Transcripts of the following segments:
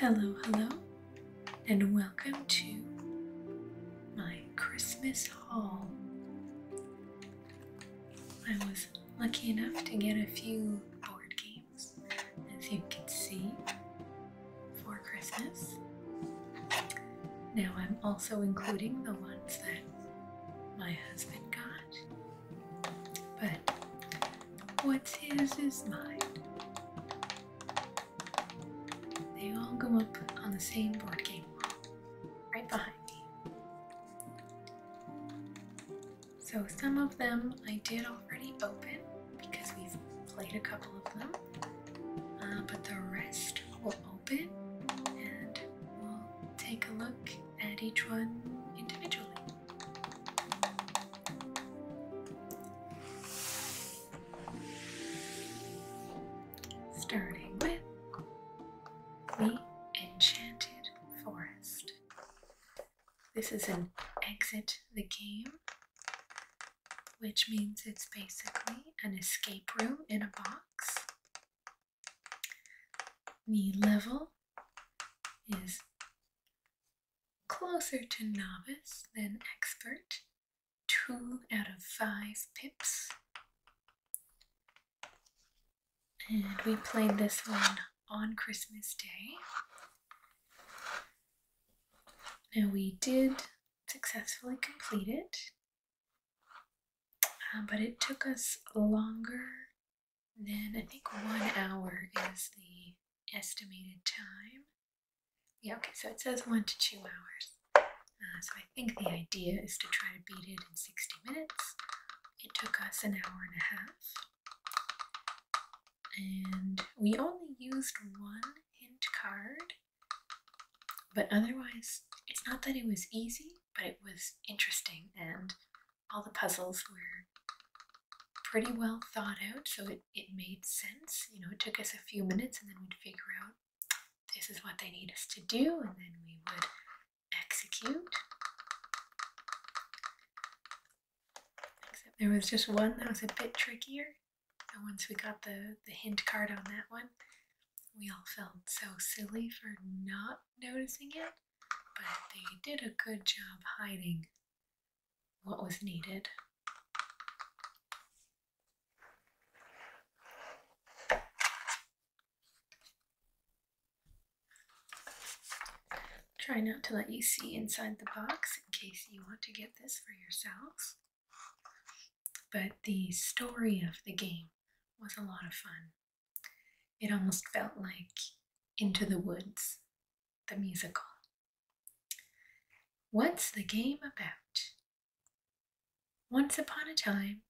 Hello, hello, and welcome to my Christmas haul. I was lucky enough to get a few board games, as you can see, for Christmas. Now I'm also including the ones that my husband got but what's his is mine. They all go up on the same board game wall, right behind me. So some of them I did already open because we've played a couple of them, uh, but the rest will open and we'll take a look at each one individually. Starting with the Enchanted Forest. This is an exit the game, which means it's basically an escape room in a box. The level is closer to novice than expert, two out of five pips. And we played this one on Christmas Day. Now we did successfully complete it, uh, but it took us longer then I think one hour is the estimated time. Yeah, okay, so it says one to two hours. Uh, so I think the idea is to try to beat it in 60 minutes. It took us an hour and a half. And we only used one hint card, but otherwise, it's not that it was easy, but it was interesting and all the puzzles were pretty well thought out, so it, it made sense. You know, it took us a few minutes and then we'd figure out this is what they need us to do, and then we would execute. there was just one that was a bit trickier. And once we got the, the hint card on that one, we all felt so silly for not noticing it, but they did a good job hiding what was needed. Try not to let you see inside the box in case you want to get this for yourselves. But the story of the game was a lot of fun. It almost felt like Into the Woods the musical. What's the game about? Once upon a time,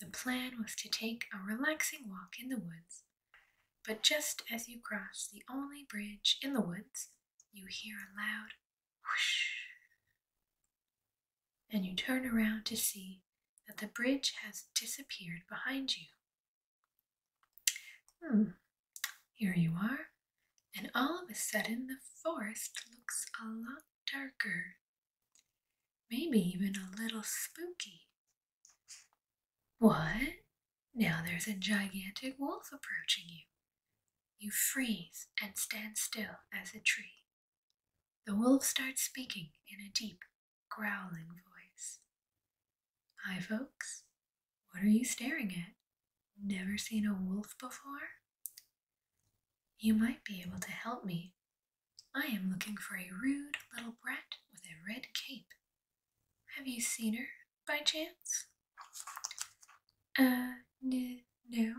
the plan was to take a relaxing walk in the woods, but just as you cross the only bridge in the woods, you hear a loud whoosh. And you turn around to see that the bridge has disappeared behind you. Hmm, here you are, and all of a sudden the forest looks a lot darker, maybe even a little spooky. What? Now there's a gigantic wolf approaching you. You freeze and stand still as a tree. The wolf starts speaking in a deep, growling voice. Hi, folks. What are you staring at? Never seen a wolf before? You might be able to help me. I am looking for a rude little brat with a red cape. Have you seen her by chance? Uh, n- no,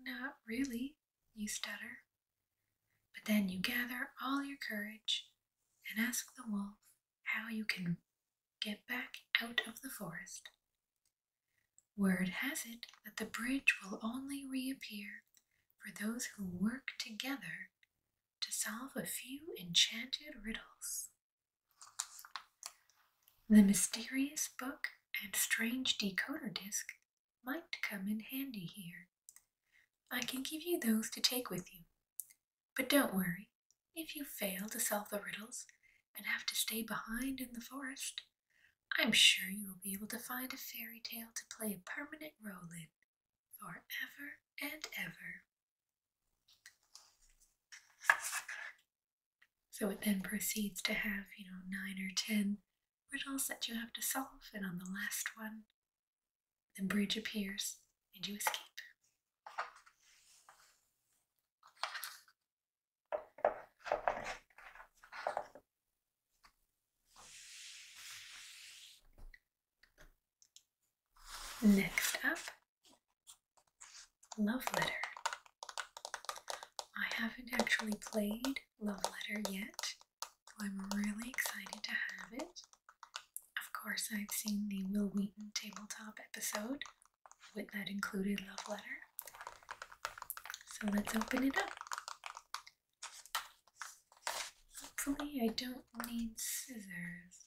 not really, you stutter. But then you gather all your courage and ask the wolf how you can get back out of the forest. Word has it that the bridge will only reappear for those who work together to solve a few enchanted riddles. The mysterious book and strange decoder disc might come in handy here. I can give you those to take with you. But don't worry, if you fail to solve the riddles and have to stay behind in the forest, I'm sure you will be able to find a fairy tale to play a permanent role in forever and ever. So it then proceeds to have, you know, nine or ten riddles that you have to solve, and on the last one, the bridge appears and you escape. Next up, Love Letter. I haven't actually played Love Letter yet, so I'm really excited to have it. Of course, I've seen the Will Wheaton tabletop episode with that included love letter. So let's open it up. Hopefully, I don't need scissors.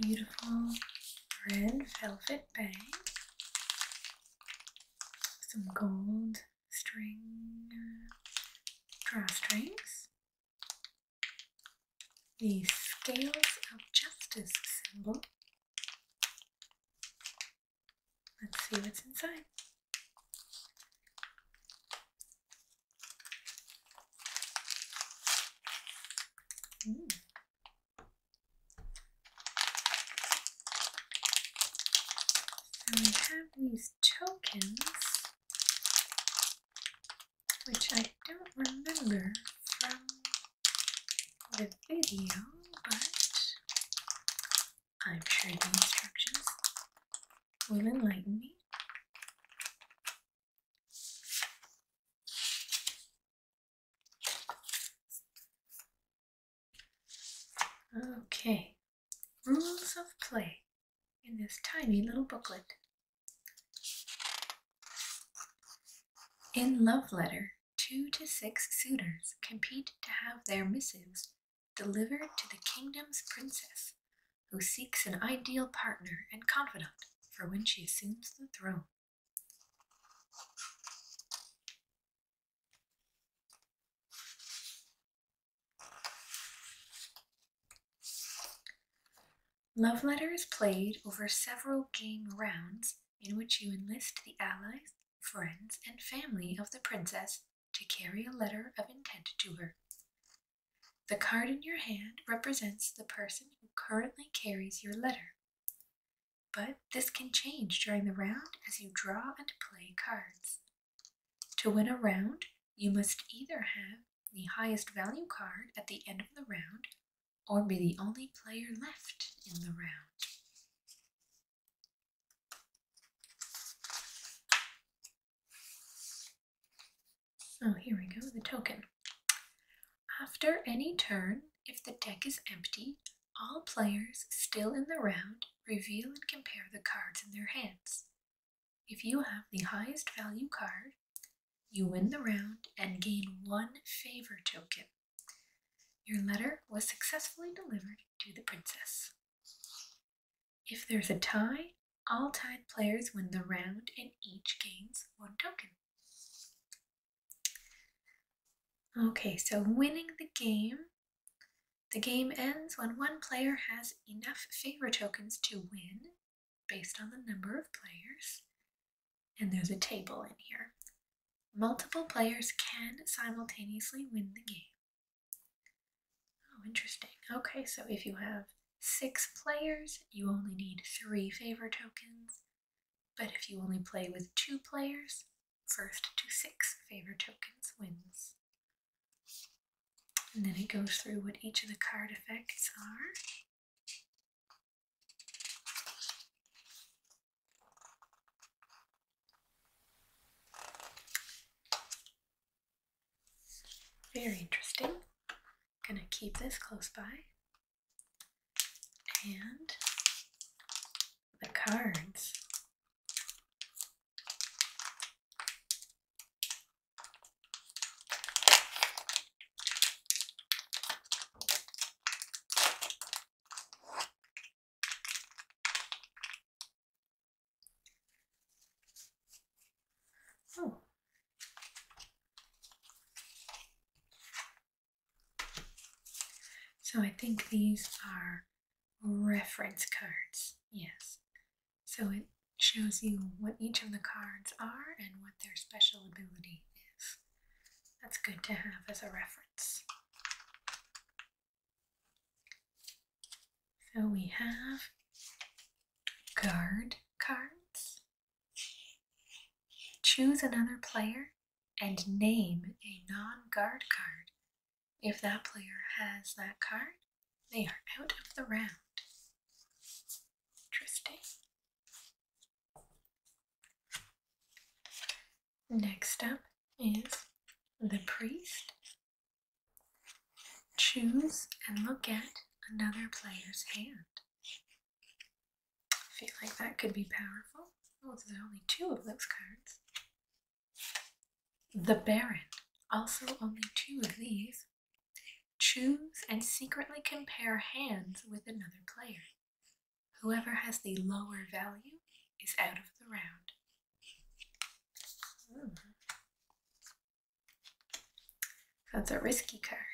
beautiful red velvet bag, some gold string uh, drawstrings, the Scales of Justice symbol. Let's see what's inside. Mm. have these tokens, which I don't remember from the video, but I'm sure the instructions will enlighten me. Okay, rules of play in this tiny little booklet. In Love Letter, two to six suitors compete to have their missives delivered to the kingdom's princess, who seeks an ideal partner and confidant for when she assumes the throne. Love Letter is played over several game rounds in which you enlist the allies, friends, and family of the princess to carry a letter of intent to her. The card in your hand represents the person who currently carries your letter. But this can change during the round as you draw and play cards. To win a round, you must either have the highest value card at the end of the round or be the only player left in the round. Oh, here we go, the token. After any turn, if the deck is empty, all players still in the round reveal and compare the cards in their hands. If you have the highest value card, you win the round and gain one favor token. Your letter was successfully delivered to the princess. If there's a tie, all tied players win the round and each gains one token. Okay, so winning the game. The game ends when one player has enough favor tokens to win based on the number of players. And there's a table in here. Multiple players can simultaneously win the game. Oh, interesting. Okay, so if you have six players, you only need three favor tokens. But if you only play with two players, first to six favor tokens wins. And then it goes through what each of the card effects are. Very interesting. Gonna keep this close by and the cards. Oh, so I think these are reference cards, yes. So it shows you what each of the cards are and what their special ability is. That's good to have as a reference. So we have guard cards, Choose another player and name a non-guard card. If that player has that card, they are out of the round. Interesting. Next up is the priest. Choose and look at another player's hand. I feel like that could be powerful. Oh, there's only two of those cards. The Baron. Also, only two of these. Choose and secretly compare hands with another player. Whoever has the lower value is out of the round. Hmm. That's a risky card.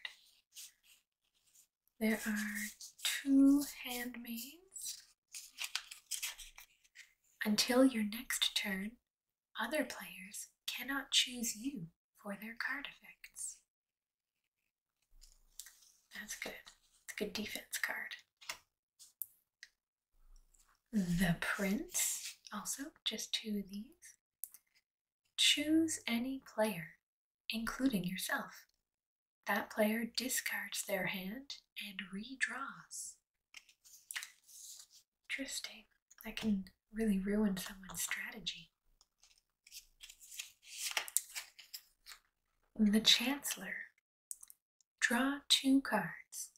There are two handmaids. Until your next turn, other players cannot choose you for their card effects. That's good. good defense card. The Prince, also just two of these. Choose any player including yourself. That player discards their hand and redraws. Interesting. That can really ruin someone's strategy. The Chancellor. Draw two cards.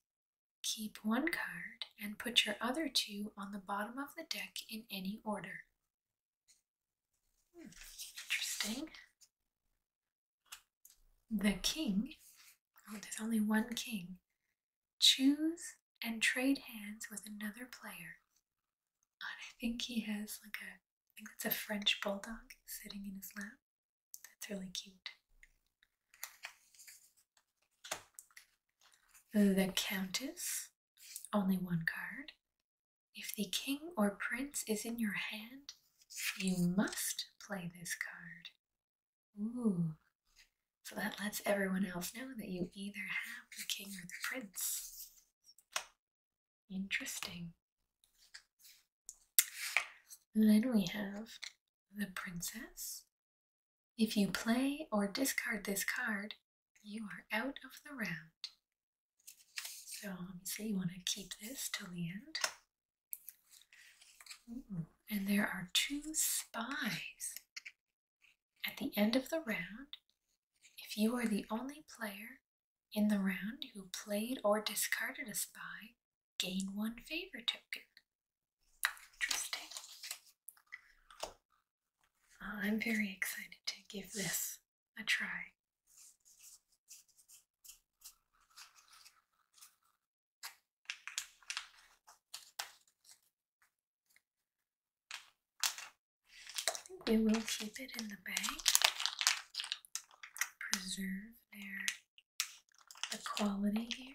Keep one card and put your other two on the bottom of the deck in any order interesting. The king, oh, there's only one king, choose and trade hands with another player. I think he has like a, I think it's a French bulldog sitting in his lap. That's really cute. The Countess, only one card. If the king or prince is in your hand, you must play this card. Ooh. So that lets everyone else know that you either have the king or the prince. Interesting. then we have the princess. If you play or discard this card, you are out of the round. So let me see, you want to keep this till the end. and there are two spies. At the end of the round, if you are the only player in the round who played or discarded a spy, gain one favor token. Interesting. I'm very excited to give this a try. we will keep it in the bag, preserve their the quality here.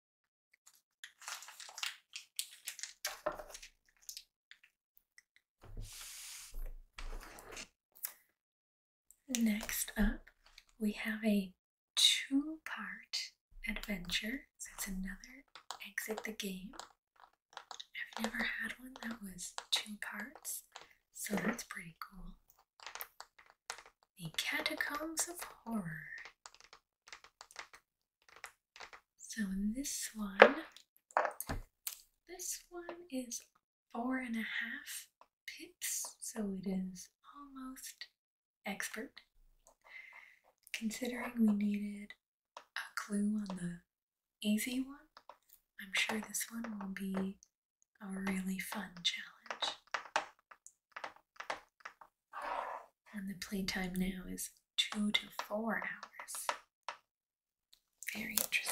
Next up, we have a two-part adventure. So it's another exit the game. I've never had one that was two parts, so that's pretty cool. The Catacombs of Horror. So this one, this one is four and a half pips, so it is almost expert. Considering we needed a clue on the easy one, I'm sure this one will be a really fun challenge and the playtime now is two to four hours. Very interesting.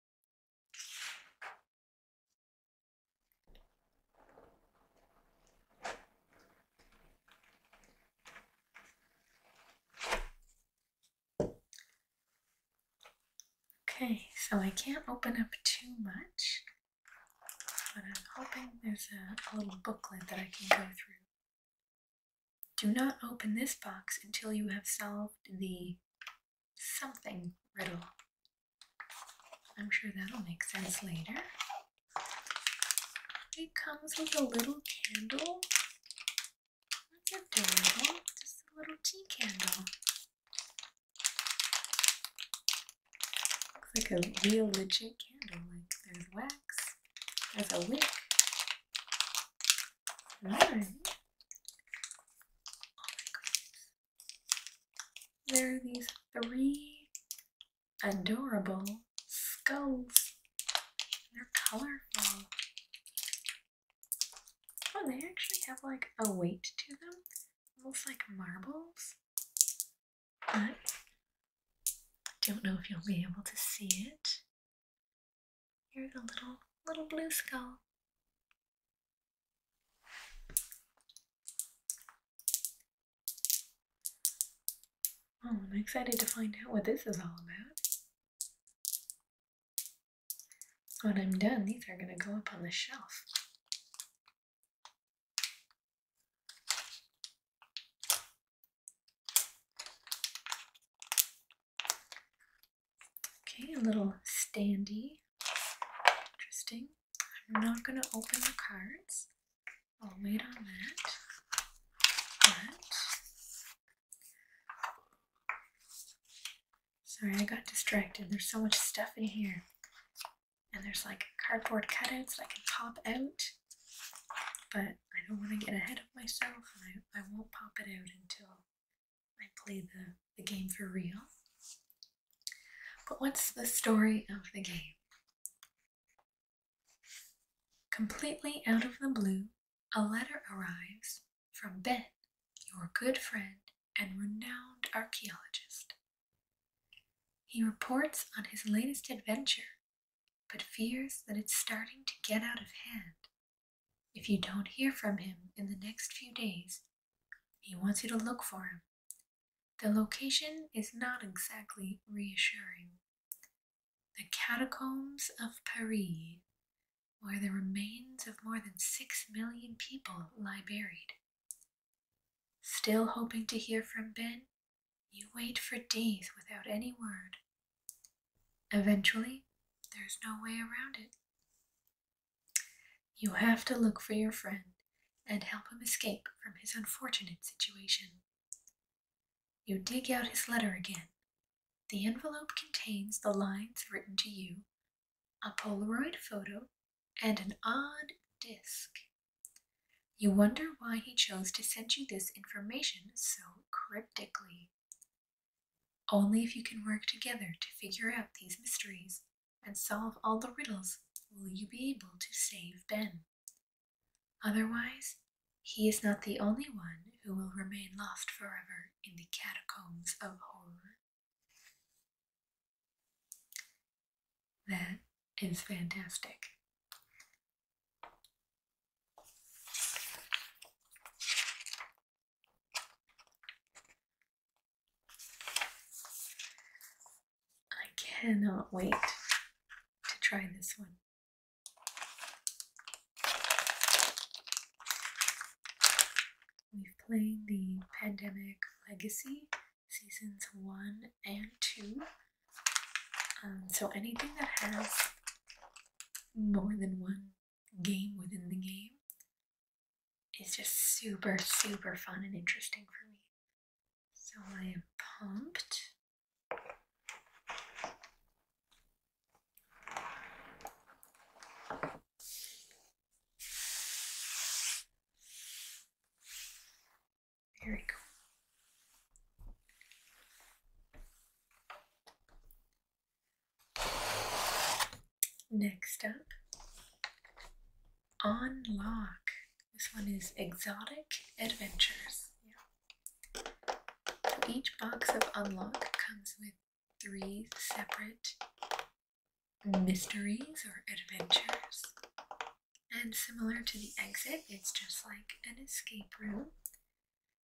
Okay, so I can't open up too much, but I'm hoping there's a, little booklet that I can go through. Do not open this box until you have solved the something riddle. I'm sure that'll make sense later. It comes with a little candle. That's adorable. Just a little tea candle. Looks like a real legit candle. Like there's wax, there's a wick. Alright. Oh my goodness there are these three adorable skulls. They're colorful. Oh, they actually have like a weight to them, almost like marbles. I don't know if you'll be able to see it. Here's a little little blue skull. Oh, I'm excited to find out what this is all about. When I'm done, these are going to go up on the shelf. Okay, a little standy. Interesting. I'm not going to open the cards. I'll wait on that. sorry, I got distracted. There's so much stuff in here. And there's like cardboard cutouts that I can pop out. But I don't want to get ahead of myself and I, I won't pop it out until I play the, the game for real. But what's the story of the game? Completely out of the blue, a letter arrives from Ben, your good friend and renowned archaeologist. He reports on his latest adventure, but fears that it's starting to get out of hand. If you don't hear from him in the next few days, he wants you to look for him. The location is not exactly reassuring. The catacombs of Paris, where the remains of more than six million people lie buried. Still hoping to hear from Ben, you wait for days without any word. Eventually, there's no way around it. You have to look for your friend and help him escape from his unfortunate situation. You dig out his letter again. The envelope contains the lines written to you, a Polaroid photo, and an odd disc. You wonder why he chose to send you this information so cryptically. Only if you can work together to figure out these mysteries and solve all the riddles, will you be able to save Ben. Otherwise, he is not the only one who will remain lost forever in the catacombs of horror. That is fantastic. I cannot wait to try this one. We've played the Pandemic Legacy seasons one and two. Um, so anything that has more than one game within the game is just super, super fun and interesting for me. So I am pumped. Very cool. Next up, Unlock. This one is Exotic Adventures. each box of Unlock comes with three separate mysteries or adventures. And similar to the exit, it's just like an escape room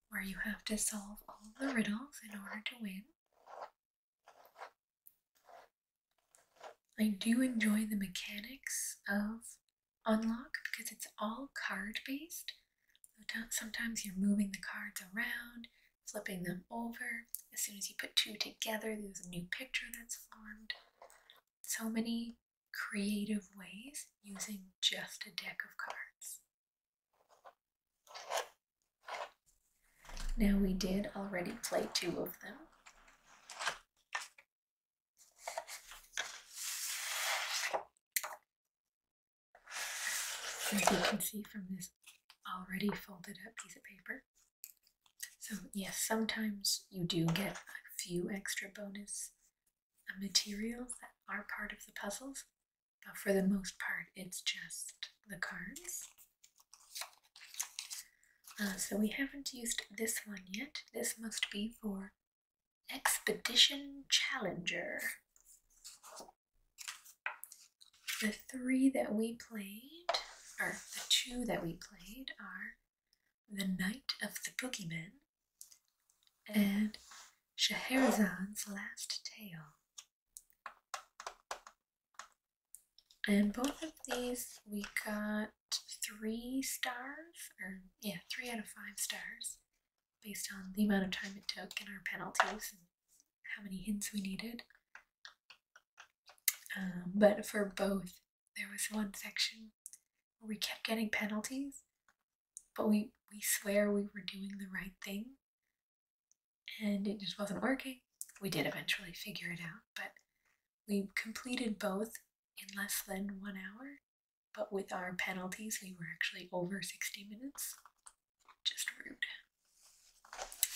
where you have to solve all the riddles in order to win. I do enjoy the mechanics of Unlock because it's all card based. Sometimes you're moving the cards around, flipping them over. As soon as you put two together, there's a new picture that's formed. So many creative ways using just a deck of cards. Now we did already play two of them. As you can see from this already folded up piece of paper. So yes, sometimes you do get a few extra bonus uh, materials that are part of the puzzles, but for the most part it's just the cards. Uh, so we haven't used this one yet. This must be for Expedition Challenger. The three that we played, or the two that we played, are The Night of the Boogeyman and Shahrazad's Last Tale. And both of these we got three stars, or yeah, three out of five stars, based on the amount of time it took and our penalties and how many hints we needed. Um, but for both, there was one section where we kept getting penalties, but we, we swear we were doing the right thing and it just wasn't working. We did eventually figure it out, but we completed both in less than one hour. But with our penalties, we were actually over 60 minutes. Just rude.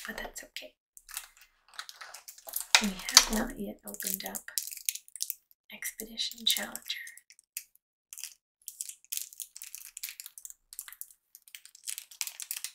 But that's okay. We have not yet opened up Expedition Challenger.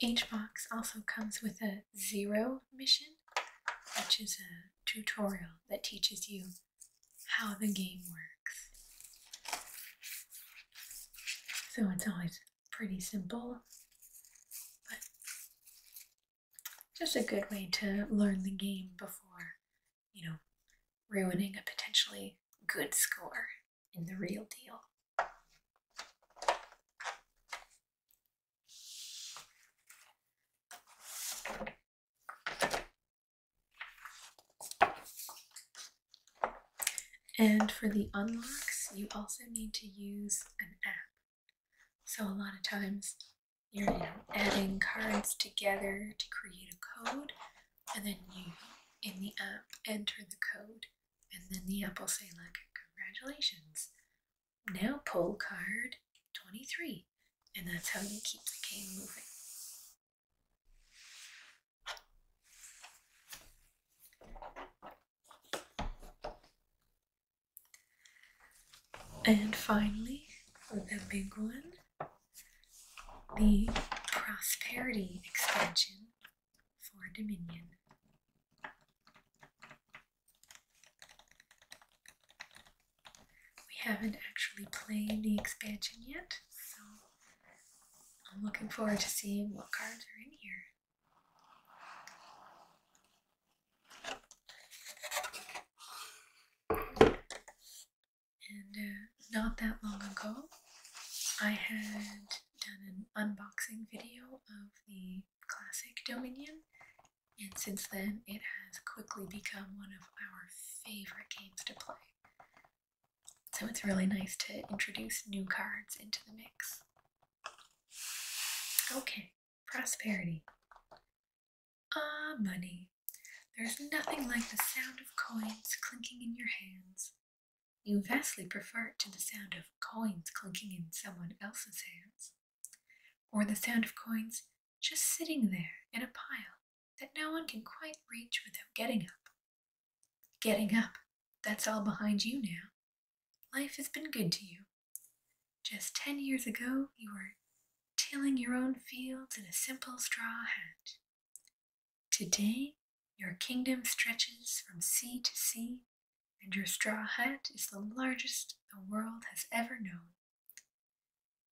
Each box also comes with a zero mission, which is a tutorial that teaches you how the game works. So it's always pretty simple, but just a good way to learn the game before, you know, ruining a potentially good score in the real deal. And for the unlocks, you also need to use an app. So a lot of times you're adding cards together to create a code, and then you, in the app, enter the code and then the apple say, look, congratulations. Now pull card 23. And that's how you keep the game moving. And finally, the big one, the prosperity expansion for Dominion. We haven't actually played the expansion yet, so I'm looking forward to seeing what cards are in here. And uh, not that long ago, I had done an unboxing video of the classic Dominion, and since then it has quickly become one of our favorite games to play. So it's really nice to introduce new cards into the mix. Okay, prosperity. Ah, money. There's nothing like the sound of coins clinking in your hands, you vastly prefer it to the sound of coins clinking in someone else's hands, or the sound of coins just sitting there in a pile that no one can quite reach without getting up. Getting up, that's all behind you now. Life has been good to you. Just ten years ago, you were tilling your own fields in a simple straw hat. Today, your kingdom stretches from sea to sea and your straw hat is the largest the world has ever known.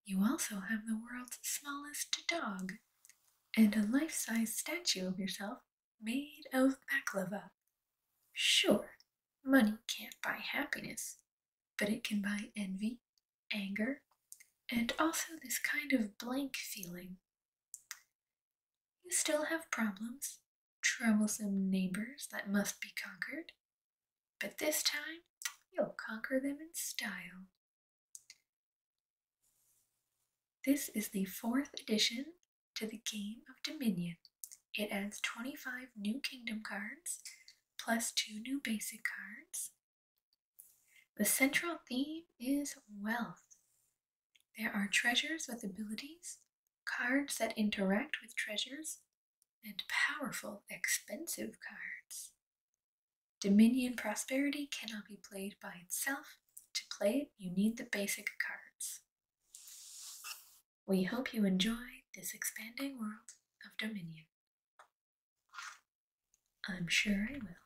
You also have the world's smallest dog and a life size statue of yourself made of baklava. Sure, money can't buy happiness, but it can buy envy, anger, and also this kind of blank feeling. You still have problems, troublesome neighbors that must be conquered, but this time you'll conquer them in style. This is the fourth edition to the game of Dominion. It adds 25 new kingdom cards, plus two new basic cards. The central theme is wealth. There are treasures with abilities, cards that interact with treasures, and powerful, expensive cards. Dominion Prosperity cannot be played by itself. To play it, you need the basic cards. We hope you enjoy this expanding world of Dominion. I'm sure I will.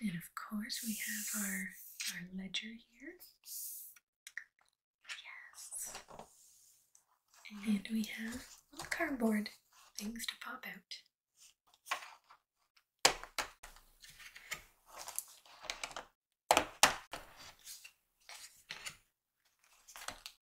And of course, we have our, our ledger here. Yes. And we have little cardboard things to pop out.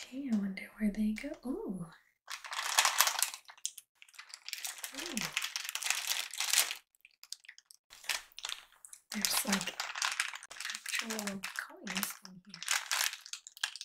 Okay, I wonder where they go. Ooh. There's like actual coins in here.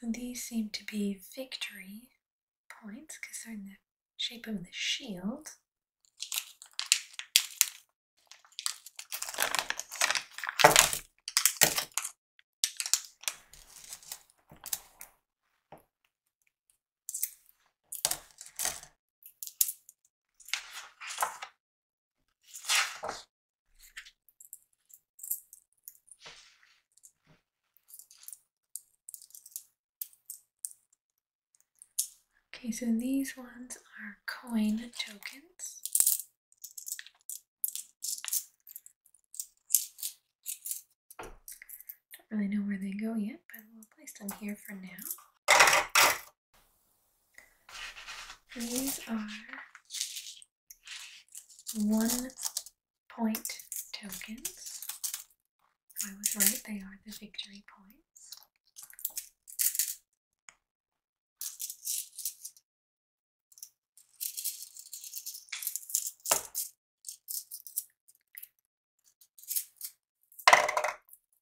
So these seem to be victory points because they're in the shape of the shield. Okay, so these ones are coin tokens. Don't really know where they go yet, but we'll place them here for now. These are one point tokens. I was right, they are the victory points.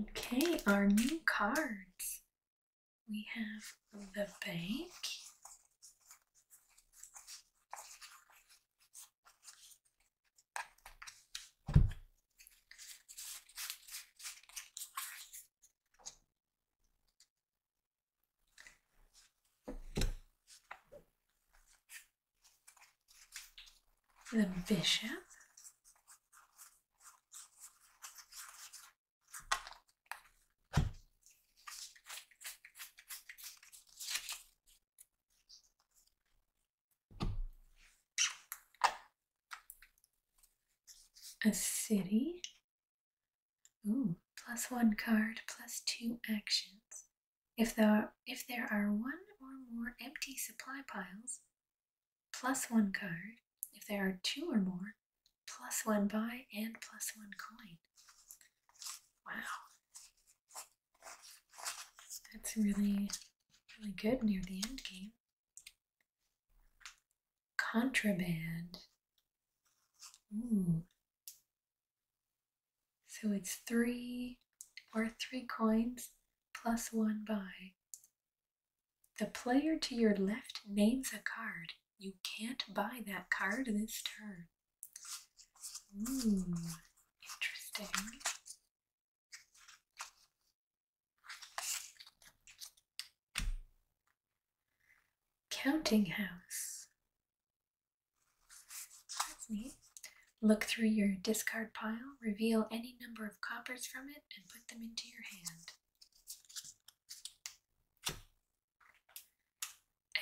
Okay, our new cards. We have the bank the bishop, a city. Ooh, plus one card, plus two actions. If there, are, if there are one or more empty supply piles, plus one card. If there are two or more, plus one buy and plus one coin. Wow. That's really, really good near the end game contraband. So it's three or three coins plus one buy. The player to your left names a card. You can't buy that card this turn. interesting. Counting house. Look through your discard pile, reveal any number of coppers from it, and put them into your hand.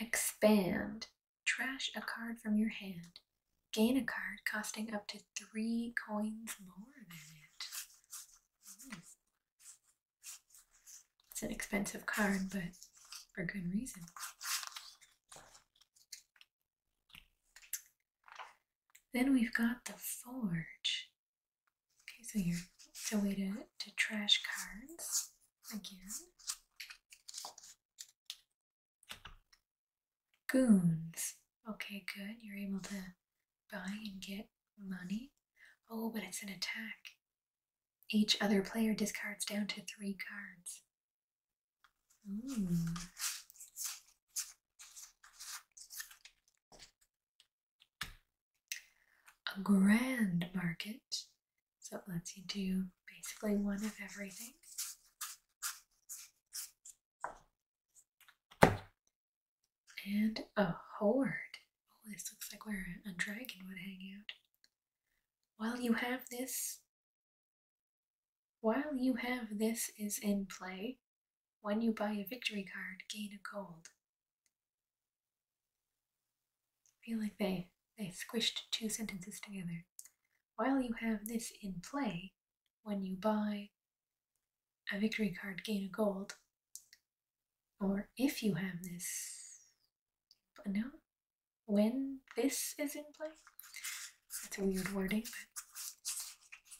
Expand. Trash a card from your hand. Gain a card costing up to three coins more than it. Hmm. It's an expensive card, but for good reason. Then we've got the Forge. Okay, so you're, it's a way to, to trash cards again. Goons. Okay, good. You're able to buy and get money? Oh, but it's an attack. Each other player discards down to three cards. Hmm. A grand market. So it lets you do basically one of everything. And a horde. Oh, this looks like where a dragon would hang out. While you have this, while you have this is in play, when you buy a victory card, gain a gold. I feel like they, they squished two sentences together. While you have this in play, when you buy a victory card, gain a gold or if you have this, no, when this is in play. That's a weird wording,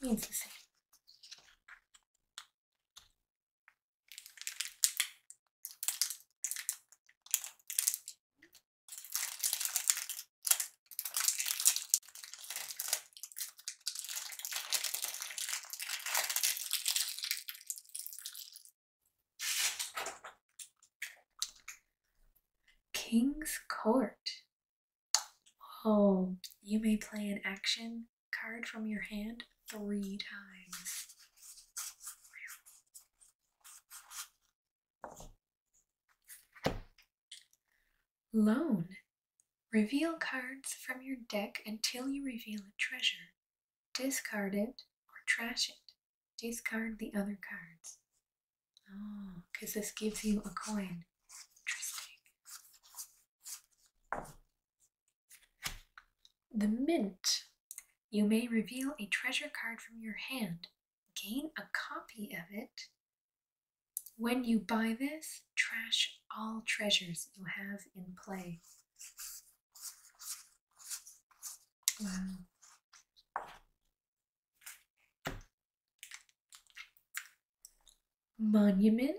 but means the same. King's Court. Oh, you may play an action card from your hand three times. Loan. Reveal cards from your deck until you reveal a treasure discard it or trash it. Discard the other cards. Oh, because this gives you a coin. Interesting. The mint. You may reveal a treasure card from your hand. Gain a copy of it. When you buy this, trash all treasures you have in play. Monument,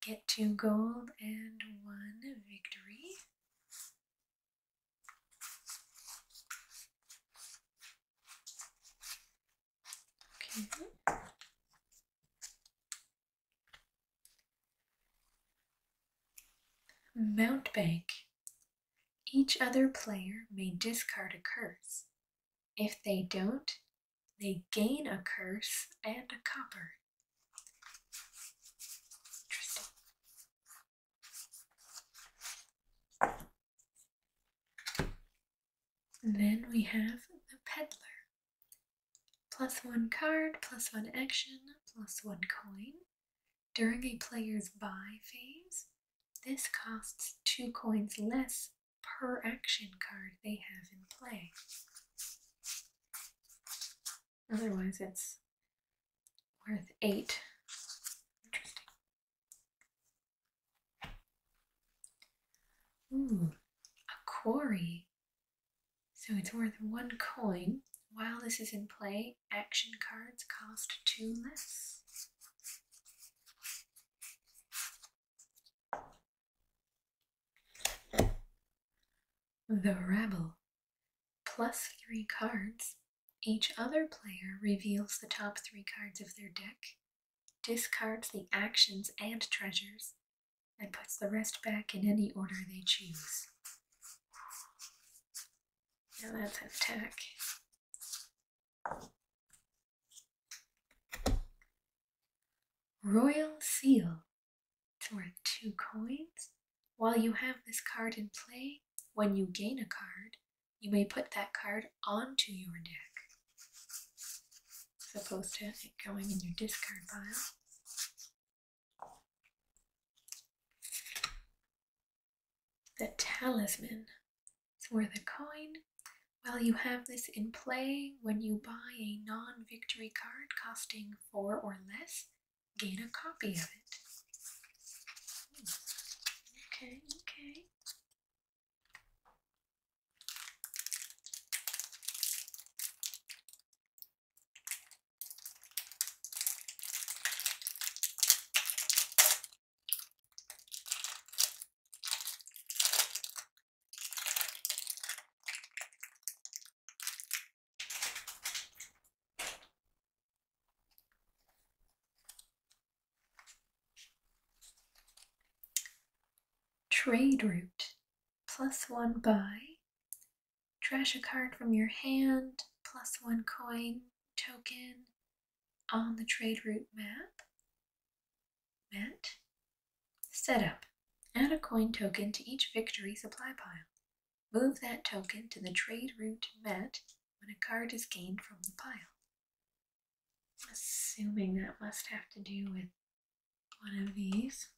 get two gold and one victory. Mountbank. Each other player may discard a curse. If they don't, they gain a curse and a copper. then we have the peddler. Plus one card, plus one action, plus one coin. During a player's buy phase, this costs two coins less per action card they have in play. Otherwise, it's worth eight. Interesting. Ooh, a quarry so it's worth one coin. While this is in play, action cards cost two less. The Rebel. Plus three cards. Each other player reveals the top three cards of their deck, discards the actions and treasures, and puts the rest back in any order they choose. Now that's attack. Royal Seal. It's worth two coins. While you have this card in play, when you gain a card, you may put that card onto your deck. Supposed opposed to it going in your discard pile. The talisman is worth a coin. While you have this in play, when you buy a non victory card costing four or less, gain a copy of it. Okay, okay. Trade route plus one buy. Trash a card from your hand, plus one coin token on the trade route map. Met. Setup. Add a coin token to each victory supply pile. Move that token to the trade route met when a card is gained from the pile. Assuming that must have to do with one of these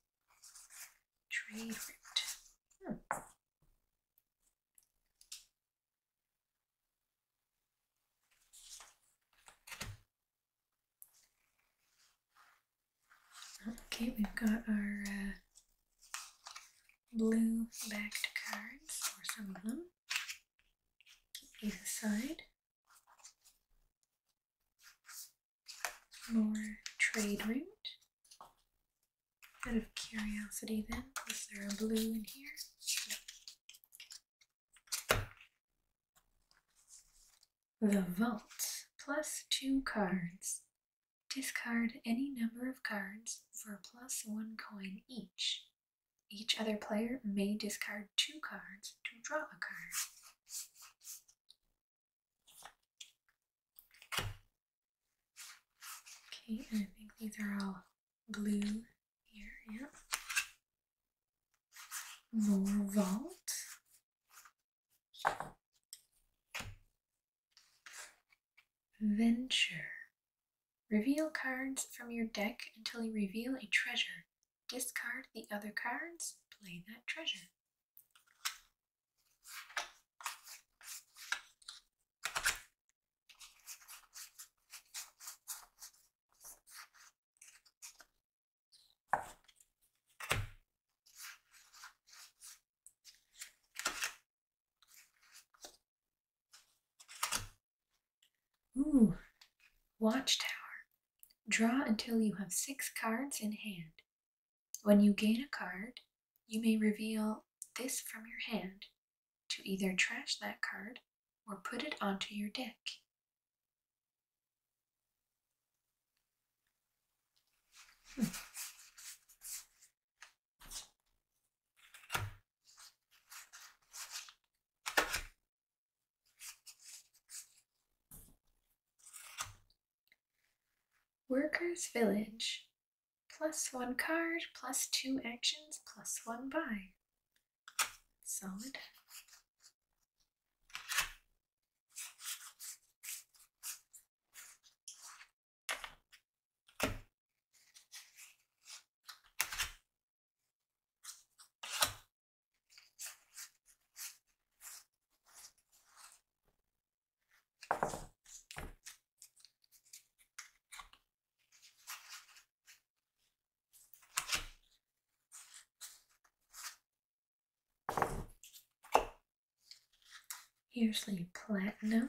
trade route. Hmm. Okay, we've got our uh, blue backed cards, or some of them. Keep these aside more trade route. Out of curiosity then, is there a blue in here? The Vault. Plus two cards. Discard any number of cards for plus one coin each. Each other player may discard two cards to draw a card. Okay, and I think these are all blue here, yeah. Volvolt. Venture. Reveal cards from your deck until you reveal a treasure. Discard the other cards, play that treasure. Ooh, Watchtower. Draw until you have six cards in hand. When you gain a card, you may reveal this from your hand to either trash that card or put it onto your deck. Workers Village. Plus one card, plus two actions, plus one buy. Solid. Here's the platinum.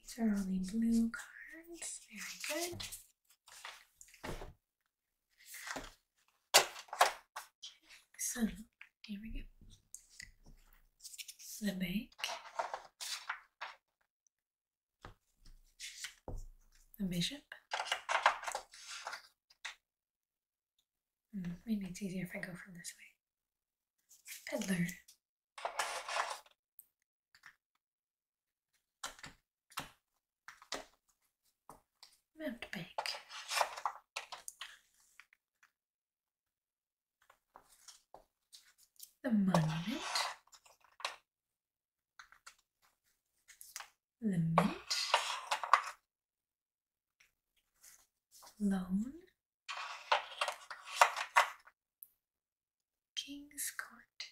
These are all the blue cards. Very good. So here we go. The bank. The bishop. Hmm, maybe it's easier if I go from this way. Peddler. Round back. The monument. The mint. Loan. King's Court.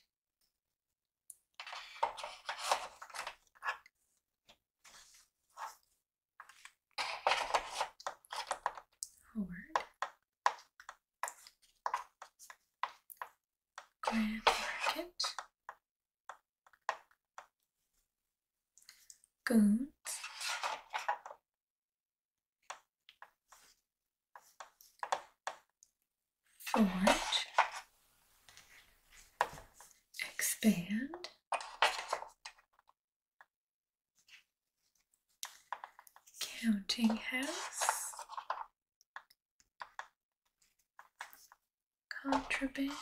Howard. Grand Market. Goons. Fort, expand, counting house, contraband,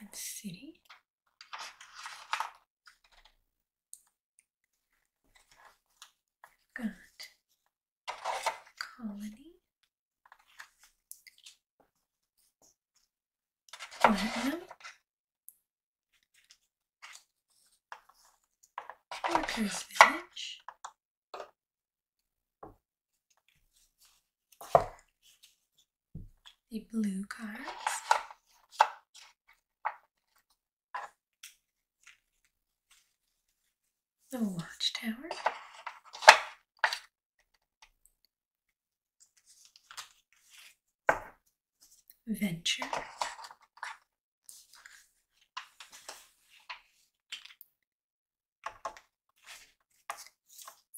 and city. Got colony, platinum, workers' village the blue cards. The Watchtower. Venture.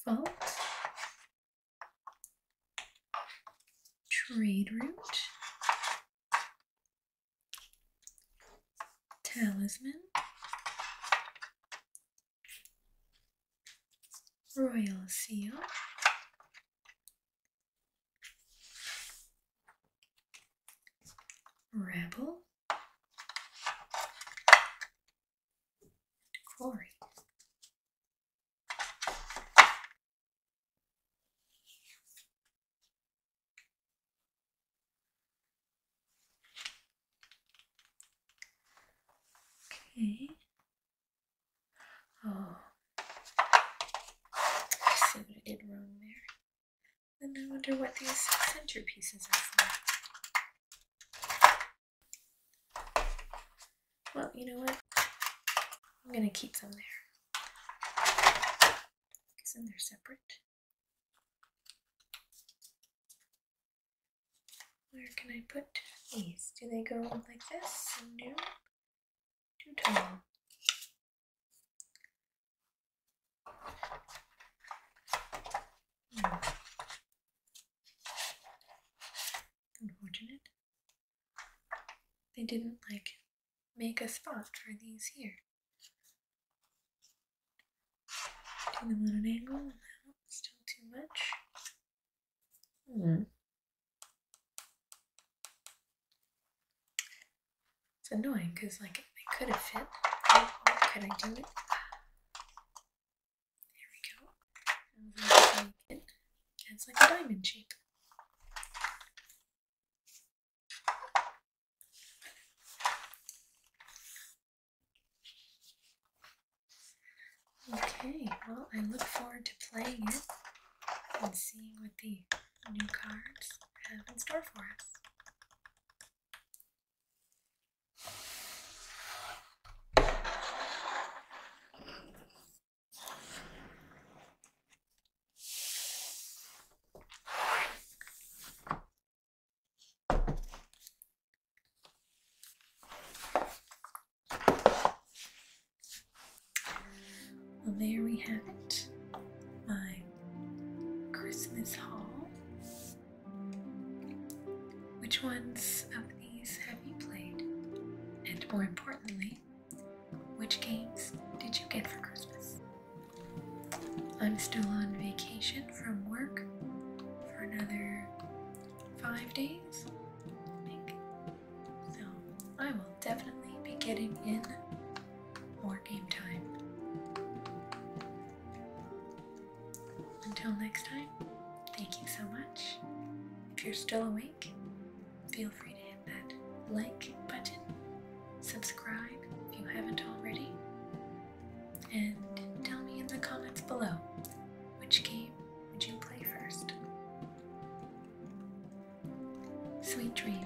Fault trade route, talisman, royal seal, rebel, quarry. Okay. Oh, see what I did wrong there. And I wonder what these center are for. Well, you know what? I'm gonna keep them there. Because then they're separate. Where can I put these? Do they go like this? No. Too tall. Hmm. Unfortunate. They didn't like make a spot for these here. Do them on an angle. still too much. Hmm. It's annoying because like it could have fit. could I do it? There we go. It's like a diamond shape. Okay, well, I look forward to playing it and seeing what the new cards have in store for us. Well, there we have it. My Christmas haul. Which ones of these have you played? And more importantly, which games did you get for Christmas? I'm still on vacation from work for another five days, I think. So I will definitely be getting in more game time. Until next time, thank you so much. If you're still awake, feel free to hit that like button, subscribe if you haven't already, and tell me in the comments below which game would you play first. Sweet dreams.